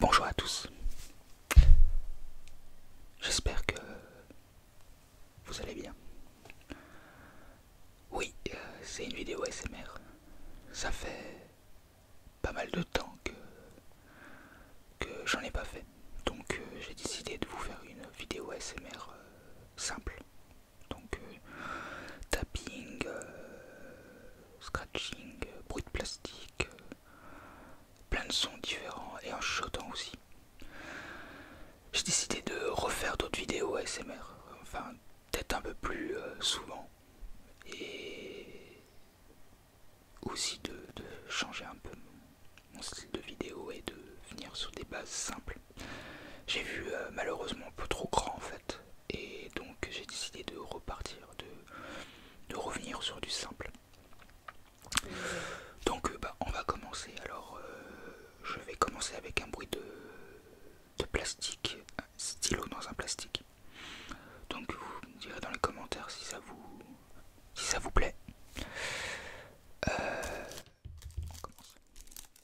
Bonjour à tous. J'espère que vous allez bien. Oui, euh, c'est une vidéo SMR. Ça fait pas mal de temps que, j'en ai pas fait. Donc euh, j'ai décidé de vous faire une vidéo SMR euh, simple, donc euh, tapping, euh, scratching, euh, bruit de plastique, plein de sons différents et en shotant aussi. J'ai décidé de refaire d'autres vidéos ASMR, enfin peut-être un peu plus souvent et aussi de changer un peu mon style de vidéo et de venir sur des bases simples. J'ai vu euh, malheureusement un peu trop grand en fait, et donc j'ai décidé de repartir, de, revenir sur du simple. Donc euh, bah, on va commencer. Alors euh, je vais commencer avec un bruit de, plastique, un stylo dans un plastique. Donc vous me direz dans les commentaires si ça vous, si ça vous plaît.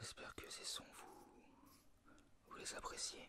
J'espère que ces sons vous, vous les appréciez.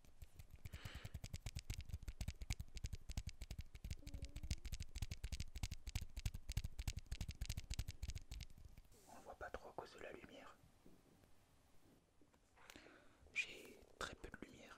On ne voit pas trop à cause de la lumière. J'ai très peu de lumière.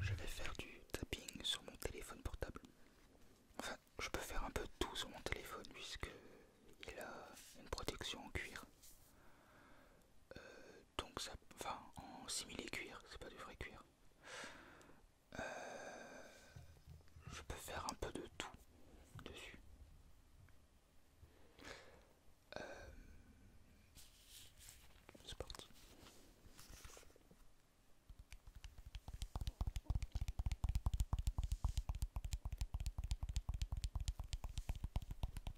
Je vais faire du tapping sur mon téléphone portable. Enfin, je peux faire un peu tout sur mon téléphone puisqu'il il a une protection en cuir donc ça, enfin en similé cuir, c'est pas du vrai cuir. Euh, je peux faire un peu de tout dessus. Euh, c'est parti.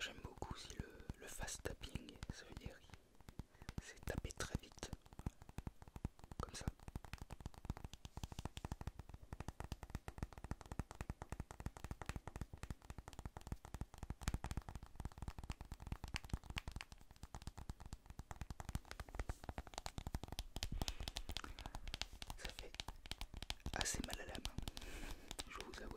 J'aime beaucoup si le, fast tapping, ça veut dire c'est taper très vite, comme ça. Ça fait assez mal à la main, je vous avoue.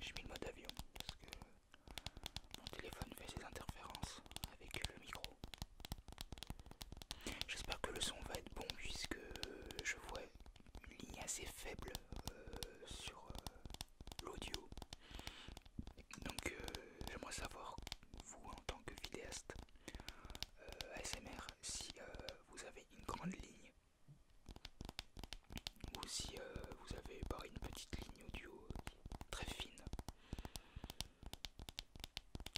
J'ai mis le mode avion parce que mon téléphone fait ses interférences avec le micro. J'espère que le son va être bon puisque je vois une ligne assez faible euh, sur euh, l'audio. Donc euh, j'aimerais savoir, vous en tant que vidéaste S.M.R. ASMR, si vous avez une grande ligne ou si euh, vous avez par une petite ligne audio euh, très fine,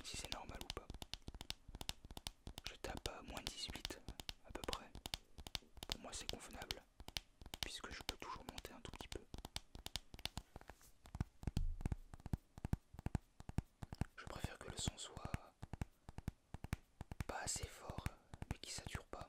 si c'est normal ou pas. Je tape à moins 18 à peu près. Pour moi c'est convenable, puisque je peux toujours monter un tout petit peu. Je préfère que le son soit pas assez fort, mais ne sature pas.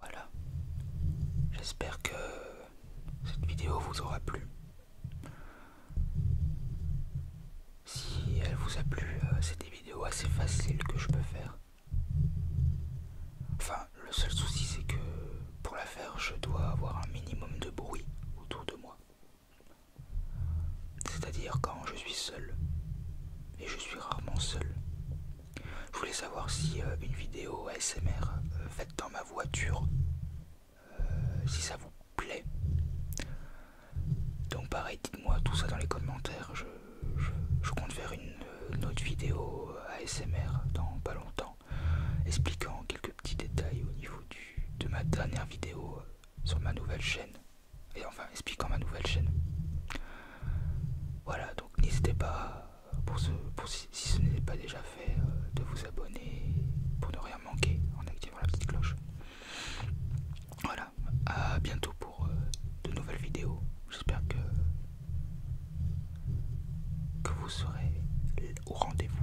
Voilà. J'espère que cette vidéo vous aura plu. Si elle vous a plu, euh, c'est des vidéos assez faciles que je peux faire. Enfin, le seul souci c'est que pour la faire, je dois avoir un minimum de bruit autour de moi. C'est-à-dire quand je suis seul. Et je suis rarement seul. Je voulais savoir si euh, une vidéo ASMR euh, faite dans ma voiture, euh, si ça vous plaît. Donc pareil, dites-moi tout ça dans les commentaires. Je, compte faire une, autre vidéo ASMR dans pas longtemps, expliquant quelques petits détails au niveau de ma dernière vidéo sur ma nouvelle chaîne. Et enfin, expliquant ma nouvelle chaîne. Voilà, donc n'hésitez pas, pour si, ce n'est pas déjà fait, euh, de vous abonner pour ne rien manquer en activant la petite cloche. Voilà, à bientôt pour euh, de nouvelles vidéos. J'espère que vous serez au rendez-vous.